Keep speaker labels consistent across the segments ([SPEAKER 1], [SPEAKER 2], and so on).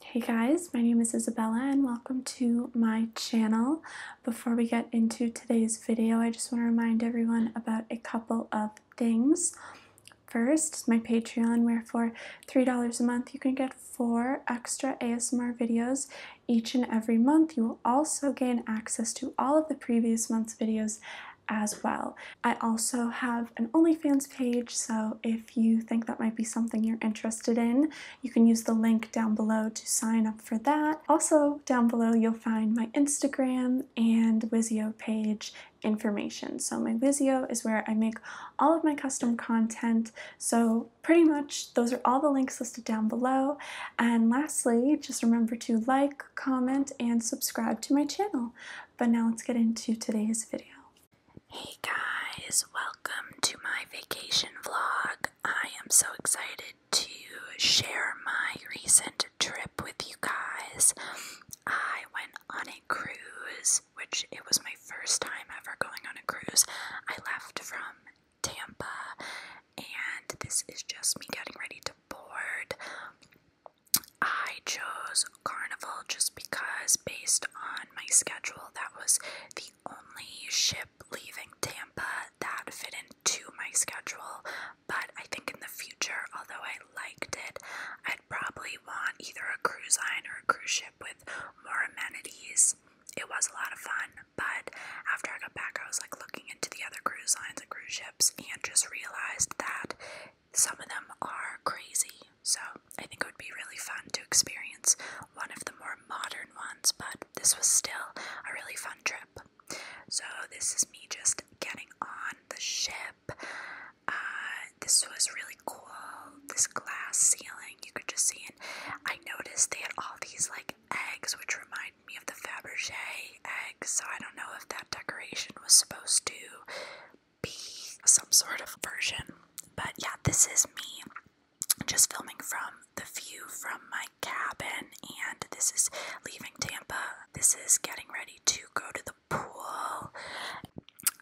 [SPEAKER 1] Hey guys, my name is Isabella and welcome to my channel. Before we get into today's video, I just want to remind everyone about a couple of things. First, my Patreon, where for $3 a month you can get four extra ASMR videos each and every month. You will also gain access to all of the previous month's videos as well. I also have an OnlyFans page, so if if you think that might be something you're interested in. You can use the link down below to sign up for that. Also, down below, you'll find my Instagram and Wizio page information. So my Vizio is where I make all of my custom content. So pretty much those are all the links listed down below. And lastly, just remember to like, comment, and subscribe to my channel. But now let's get into today's video. Hey guys, welcome to my vacation vlog. I am so excited to share my recent trip with you guys. I went on a cruise, which it was my first time ever going on a cruise. I left from Tampa, and this is just me getting ready to board. I chose Carnival just because, based on my schedule, that was the only ship leaving Tampa that fit into my schedule. But I think in the future, although I liked it, I'd probably want either a cruise line or a cruise ship with more amenities. It was a lot of fun, but after I got back, I was like looking into the other cruise lines and cruise ships and just realized that some of them are crazy, so I think it would be really fun to experience one of the more modern ones, but this was still a really fun trip. So, this is me just getting on the ship. Uh, this was really cool. This glass ceiling, you could just see it. I noticed they had all these like eggs, which remind me of the Fabergé eggs, so I don't know if that decoration was supposed to be some sort of version. But yeah, this is me just filming from the view from my cabin, and this is leaving Tampa. This is getting ready to go to the pool.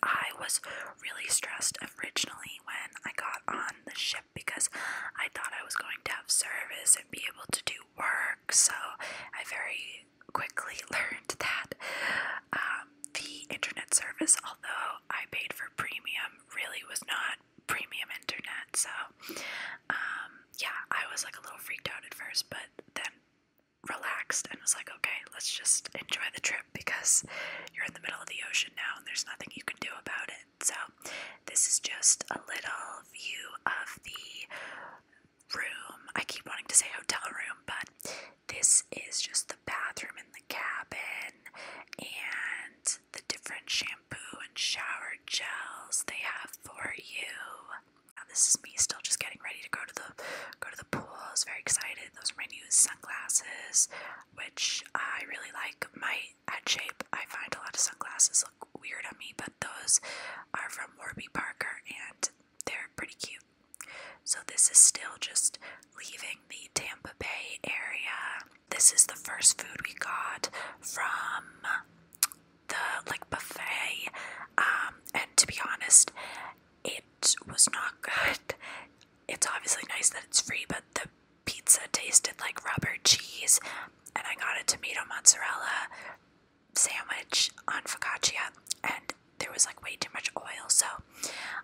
[SPEAKER 1] I was really stressed originally when I got on the ship because I thought I was going to have service and be able to do work. So I very quickly learned that um, the internet service, although I paid for premium, really was not premium internet. So, um, yeah, I was like a little freaked out at first, but then relaxed and was like, okay, let's just enjoy the trip because you're in the middle of the ocean now and there's nothing you can do about it. So, this is just a little view of the room. I keep wanting to say hotel room, but this is just the bathroom in the cabin and the different shampoo and shower gels they have for you. this is me still just getting ready to go to the go to the pool. I was very excited. Those are my new sunglasses, which I really like. My head shape, I find a lot of sunglasses look weird on me, but those are from Warby Parker and they're pretty cute. So, this is still just leaving the Tampa Bay area. This is the first food we got from the like buffet. Um, and to be honest, it was not good. It's obviously nice that it's free, but the pizza tasted like rubber cheese, and I got a tomato mozzarella sandwich on focaccia and there was like way too much oil so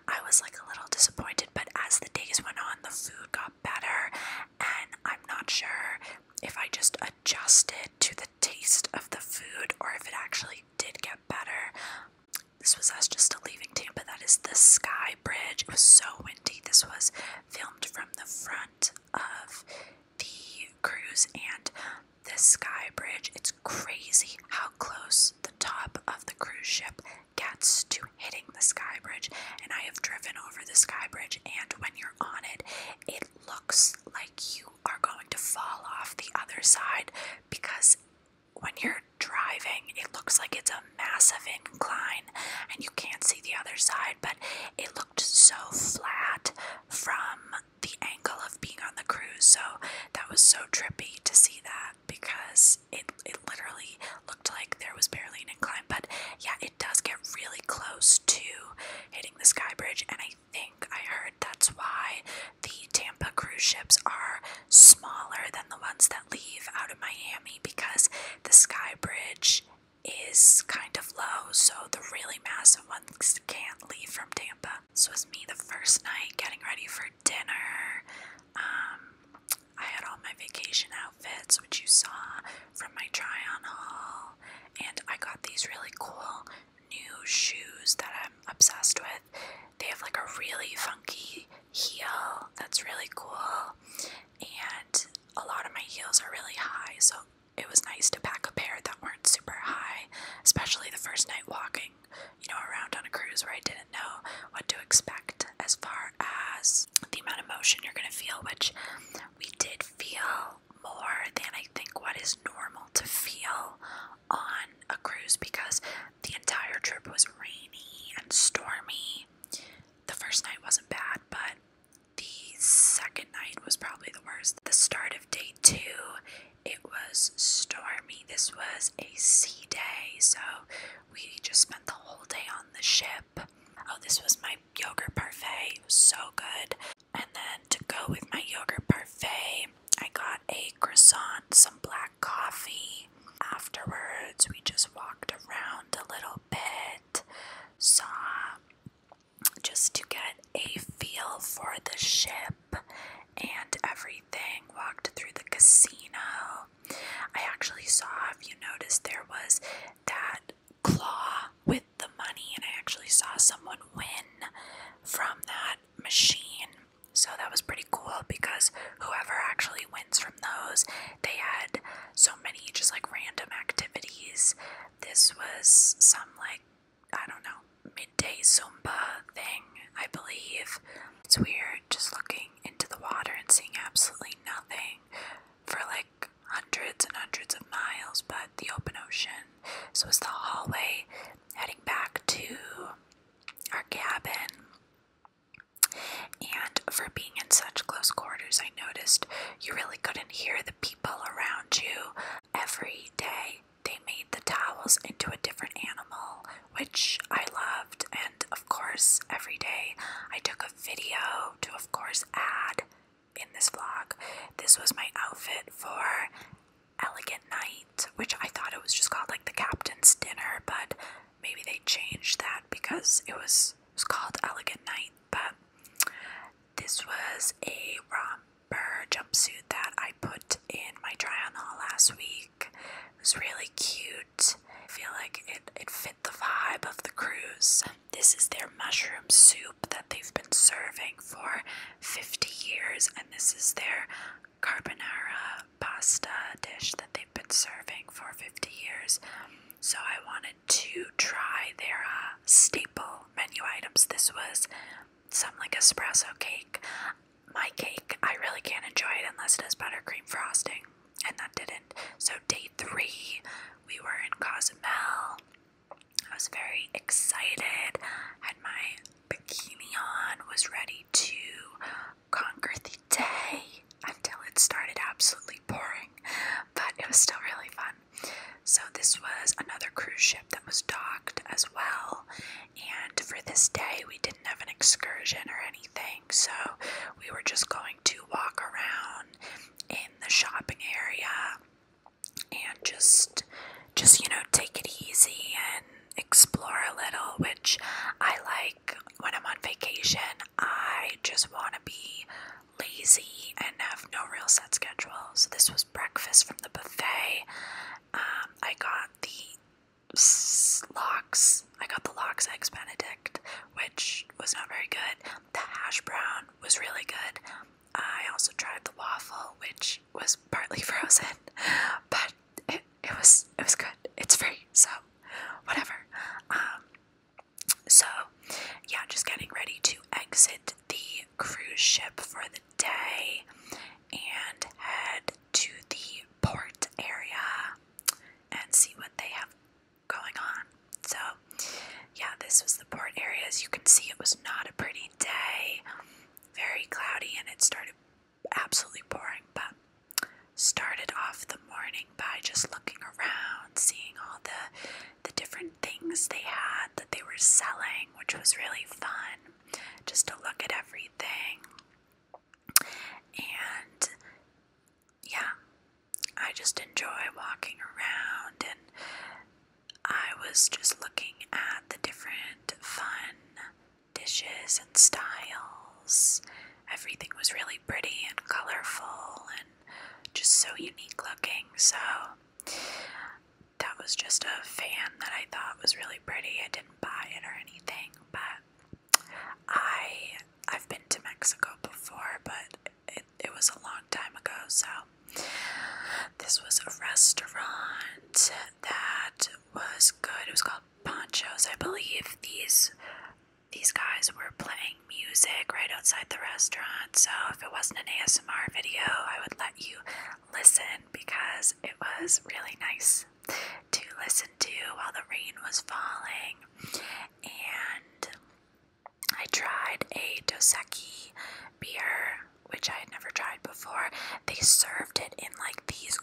[SPEAKER 1] I was like a little disappointed but as the days went on the food got better and I'm not sure if I just adjusted to the taste of the food or if it actually did get better. This was us just leaving Tampa. That is the Sky Bridge. It was so windy. This was filmed from the front of the cruise and this sky bridge, it's crazy how close the top of the cruise ship gets to hitting the sky bridge. And I have driven over the sky bridge, and when you're on it, it looks like you are going to fall off the other side because when you're driving, it looks like it's a massive incline and you can't see the other side, but it looked so flat from the angle of being on the cruise, so that was so trippy to see that because it it literally looked like there was barely an incline. But yeah, it does get really close to hitting the sky bridge, and I think I heard that's why the Tampa cruise ships are smaller than the ones that leave out of Miami because the sky bridge is kind of low, so the really massive ones can't leave from Tampa. This was me the first night getting ready for dinner. Um, I had all my vacation outfits, which you saw from my try on haul, and I got these really cool new shoes that I'm obsessed with. They have like a really funky heel that's really cool, and a lot of my heels are really high, so it was nice to pack a pair that weren't super high, especially the first night walking, you know, around on a cruise where I didn't know what to expect as far as the amount of motion you're going to feel, which we did feel more than I think what is normal to feel on a cruise because the entire trip was rainy and stormy. The first night wasn't bad, but the second night was probably the the start of day two, it was stormy. This was a sea day, so we just spent the whole day on the ship. Oh, this was my yogurt parfait. It was so good. And then to go with my yogurt parfait, I got a croissant, some black coffee. Afterwards, we just walked around a little bit, saw just to get a feel for the ship and everything. Walked through the casino. I actually saw, if you noticed, there was that claw with the money, and I actually saw someone win from that machine. So that was pretty cool because whoever actually wins from those, they had so many just like random activities. This was some like I don't know, midday Zumba thing, I believe. It's weird just looking into the water and seeing absolutely nothing for like hundreds and hundreds of miles but the open ocean. So it's the hallway heading back to our cabin. And for being in such close quarters, I noticed you really couldn't hear the people around you Every day they made the towels into a different animal, which I loved. And of course, every day I took a video to, of course, add in this vlog. This was my outfit for Elegant Night, which I thought it was just called like the Captain's Dinner, but maybe they changed that because it was, it was called Elegant Night. But this was a romper jumpsuit that I put in my try on haul last week. It was really cute. I feel like it, it fit the vibe of the cruise. This is their mushroom soup that they've been serving for 50 years, and this is their carbonara pasta dish that they've been serving for 50 years. So I wanted to try their uh, staple menu items. This was some like espresso cake. My cake, I really can't enjoy it unless it has buttercream frosting, and that didn't. So, day three, we were in Cozumel. I was very excited, had my bikini on, was ready to conquer the day until it started absolutely pouring but it was still really fun. So, this was another cruise ship that was docked as well. And for this day, we didn't have an excursion or anything, so we were just going to walk around in the shopping area and just just you know take it easy and explore a little which i like when i'm on vacation i just want to be lazy and have no real set schedule. So this was breakfast from the buffet. Um, I got the locks. I got the locks eggs Benedict, which was not very good. The hash brown was really good. I also tried the waffle, which was partly frozen, but it, it was it was good. It's free, so whatever. Um, so, yeah, just getting ready to exit the cruise ship for the day and head to the port area and see what they have going on. So, yeah, this was the port area. As you can see, it was not a pretty day, very cloudy, and it started absolutely boring. but started off the morning by just looking around, seeing all the the different different things they had that they were selling, which was really fun just to look at everything. And yeah, I just enjoy walking around and I was just looking at the different fun dishes and styles. Everything was really pretty and colorful, and just so unique looking. So that was just a fan that I thought was really pretty. I didn't buy it or anything, but I I've been to Mexico before, but it, it was a long time ago. So this was a restaurant that was good. It was called Ponchos. I believe these these guys were playing music right outside the restaurant, so if it wasn't an ASMR video, I would let you listen because it was really nice to listen to while the rain was falling. And I tried a Dos beer, which I had never tried before. They served it in like these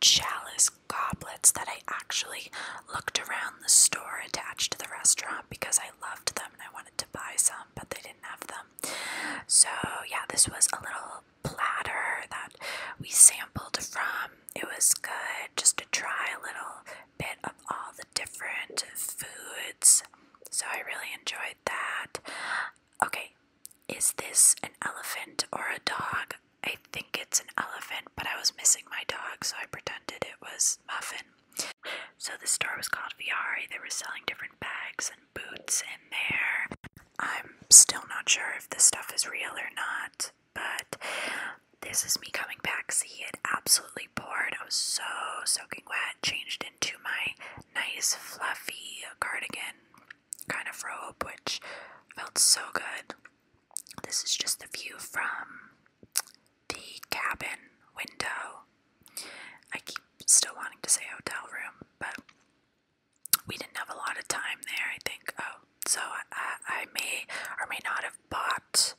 [SPEAKER 1] chalice goblets that I actually looked around the store attached to the restaurant because I loved them and I wanted to buy some, but they didn't have them. So, yeah, this was a little platter that we sampled from. It was good just to try a little bit of all the different foods. So, I really enjoyed that. Okay, is this an elephant or a dog? I think it's an elephant but I was missing my dog, so I pretended it was muffin. So the store was called Viari. They were selling different bags and boots in there. I'm still not sure if this stuff is real or not, but this is me coming back. See, it absolutely poured. I was so soaking wet. Changed into my nice fluffy cardigan kind of robe, which felt so good. This is just the view from the cabin window. I keep still wanting to say hotel room, but we didn't have a lot of time there, I think. Oh, so I, I may or may not have bought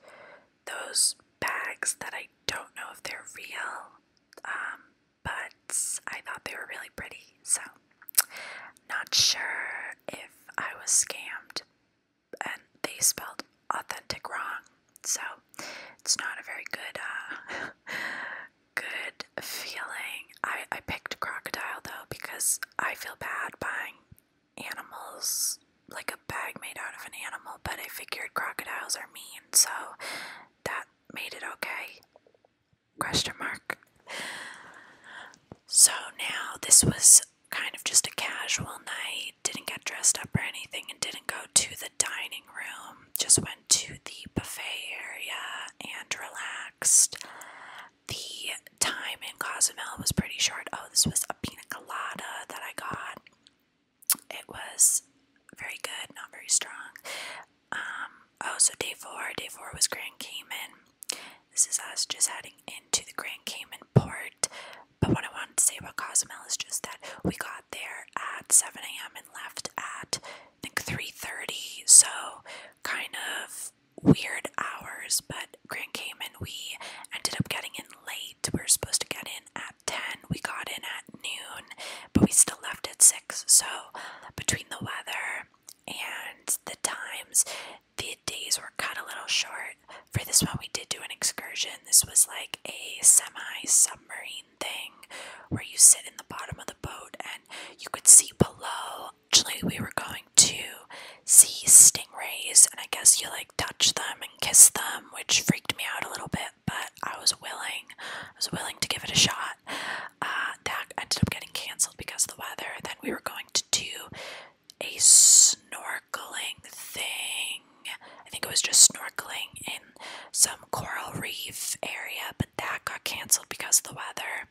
[SPEAKER 1] those bags that I don't know if they're real, um, but I thought they were really pretty, so not sure if I was scammed, and they spelled authentic wrong. So it's not a very good, uh, good feeling. I, I picked crocodile though because I feel bad buying animals like a bag made out of an animal, but I figured crocodiles are mean, so that made it okay. Question mark. So now this was kind of just a casual night. Didn't get dressed up or anything and didn't go to the dining room. Just went to the buffet area and relaxed. The time in Cozumel was pretty short. Oh, this was a pina colada that I got. It was very good, not very strong. Um, oh, so day four. Day four was Grand Cayman. This is us just heading into the Grand Cayman port. But what I wanted to say about Cozumel is just that we got there at 7 a.m. and left at I think 3:30. So kind of weird hours. But Grand Cayman, we ended up getting in late. We were supposed to get in at 10. We got in at noon, but we still left at 6. So between the weather and the times the days were cut a little short. For this one, we did do an excursion. This was like a semi submarine thing where you sit in the bottom of the boat and you could see below. Actually, we were going to see stingrays, and I guess you like touch them and kiss them, which freaked me out a little bit, but I was willing. I was willing to give it a shot. Uh, that ended up getting canceled because of the weather. Then we were going to do a snorkeling thing. I think it was just snorkeling in some coral reef area, but that got canceled because of the weather.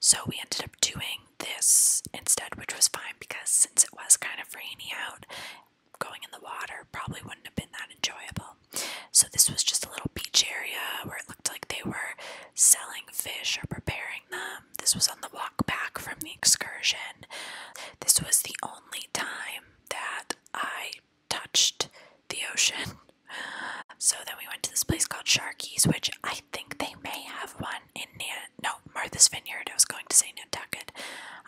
[SPEAKER 1] So we ended up doing this instead, which was fine because since it was kind of rainy out, going in the water probably wouldn't have been that enjoyable. So this was just a little beach area where it looked like they were selling fish or preparing them this was on the walk back from the excursion. This was the only time that I touched the ocean. So then we went to this place called Sharky's, which I think they may have one in Nan no Martha's Vineyard. I was going to say Nantucket.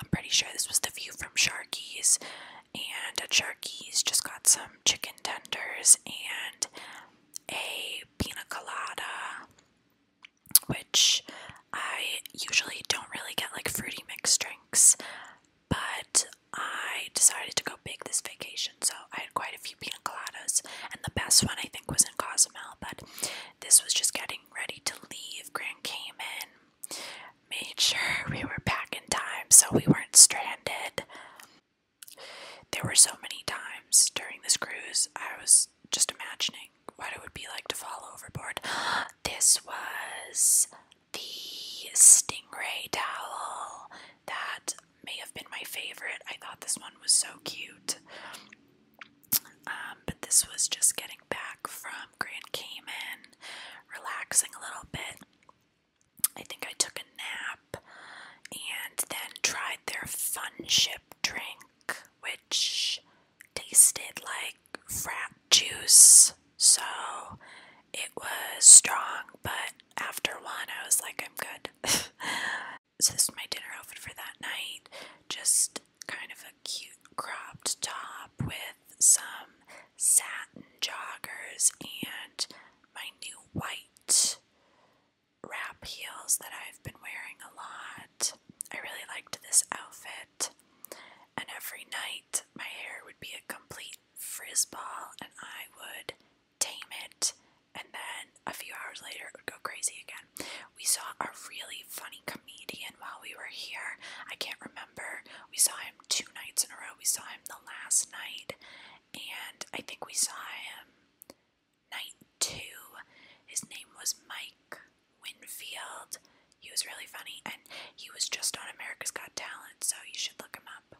[SPEAKER 1] I'm pretty sure this was the view from Sharky's, and at Sharky's just got some chicken tenders and a pina colada, which I usually don't really get like fruity mixed drinks, but I decided to go big this vacation, so I had quite a few pina coladas, and the best one I think was in Cozumel, but this was just getting ready to leave Grand Cayman. Made sure we were back in time so we weren't stranded. There were so many times during this cruise I was just imagining what it would be like to fall overboard. This was the stingray towel that may have been my favorite. I thought this one was so cute. Um, but this was just getting back from Grand Cayman, relaxing a little bit. I think I took a nap and then tried their fun ship drink, which tasted like frat juice. So it was strong, but after one, I was like, I'm good. so, this is my dinner outfit for that night. Just kind of a cute cropped top with some satin joggers and my new white wrap heels that I've been wearing a lot. I really liked this outfit, and every night my hair would be a complete frizz ball, and I would tame it, and then a few hours later it would go crazy again. We saw a really funny comedian while we were here. I can't remember. We saw him two nights in a row. We saw him the last night, and I think we saw him night two. His name was Mike Winfield. He was really funny, and he was just on America's Got Talent, so you should look him up.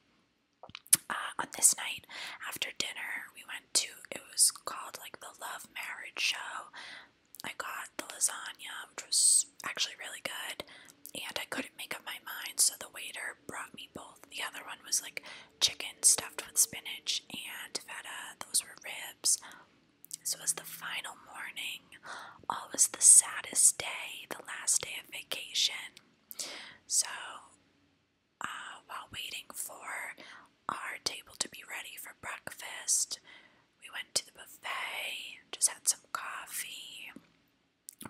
[SPEAKER 1] Uh, on this night, after dinner, we went to it was called like the Love Marriage Show. I got the lasagna, which was actually really good, and I couldn't make up my mind, so the waiter brought me both. The other one was like chicken stuffed with spinach and feta. Those were ribs. So it was the final morning. Always the saddest day, the last day of vacation. So uh, while waiting for our table to be ready for breakfast, we went to the buffet, just had some coffee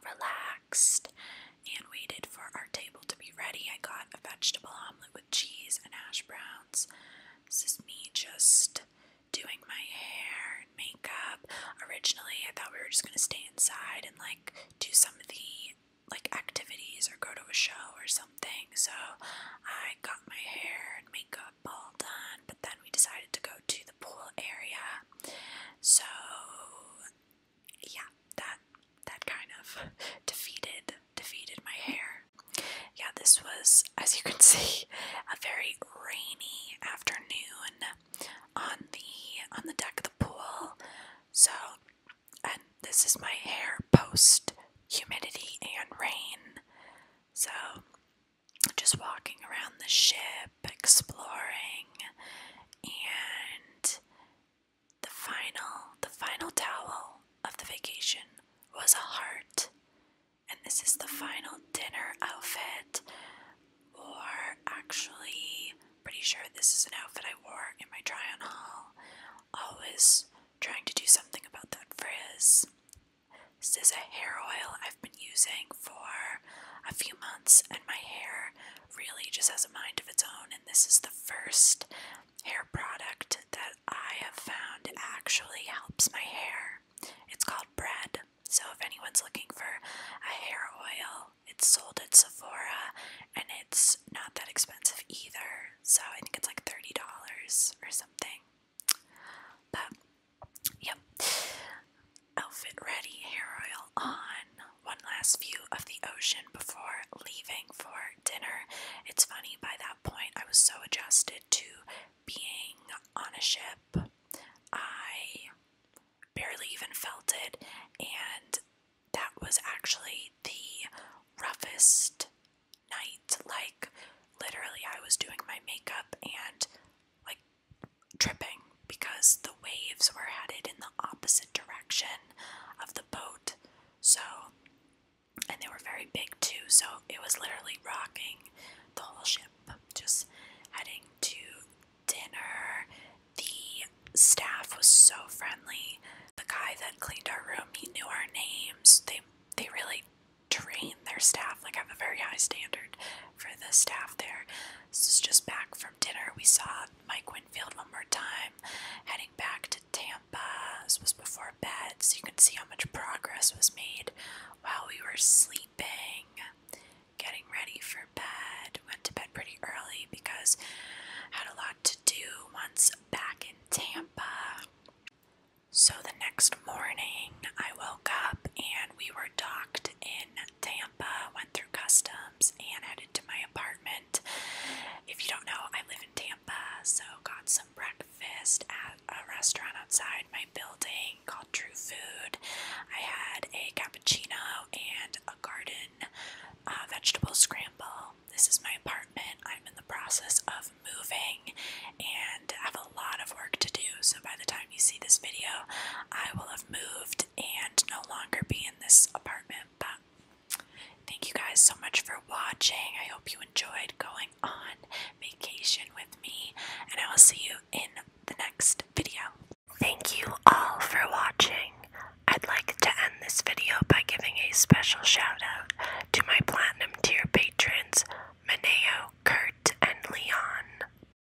[SPEAKER 1] relaxed and waited for our table to be ready. I got a vegetable omelet with cheese and hash browns. This is me just doing my hair and makeup. Originally, I thought we were just going to stay inside and like do some of the like activities or go to a show or something. So I got my hair and makeup all done, but then we decided to go to the pool area. So yeah, that that kind of defeated defeated my hair. Yeah, this was, as you can see, a very rainy afternoon on the on the deck of the pool. So, and this is my hair post humidity and rain. So, just walking around the ship, exploring, and the final, the final towel of the vacation was a heart, and this is the final dinner outfit. Or actually, pretty sure this is an outfit I wore in my try-on haul. Always trying to do something about that frizz. This is a hair oil I've been using for a few months, and my hair really just has a mind of its own, and this is the first hair product that I have found actually helps my hair. It's called Bread. So, if anyone's looking for a hair oil, it's sold at Sephora and it's not that expensive either. So, I think it's like $30 or something. But, yep. Outfit ready, hair oil on. One last view of the ocean before leaving for dinner. It's funny, by that point, I was so adjusted to being on a ship. I barely even felt it, and that was actually the roughest night. Like, literally, I was doing my makeup and like tripping because the waves were headed in the opposite direction of the boat. So, and they were very big too, so it was literally rocking the whole ship. Just heading to dinner. The staff was so friendly. The guy that cleaned our room, he knew our names. They they really train their staff. Like have a very high standard for the staff there. This is just back from dinner. We saw Mike Winfield one more time, heading back to Tampa. was before bed, so you can see how much progress was made while we were sleeping, getting ready for bed. Went to bed pretty early because I had a lot to do once back in Tampa. So the next morning, I woke up and we were docked in Tampa. Tampa, went through customs, and headed to my apartment. If you don't know, I live in Tampa, so got some breakfast at a restaurant outside my building called True Food. I had a cappuccino and a garden uh, vegetable scramble. This is my apartment. I'm in the process of moving and have a lot of work to do, so by the time you see this video, I will moved and no longer be in this apartment. But thank you guys so much for watching. I hope you enjoyed going on vacation with me, and I will see you in the next video. Thank you all for watching. I'd like to end this video by giving a special shout out to my platinum tier patrons, Maneo, Kurt, and Leon.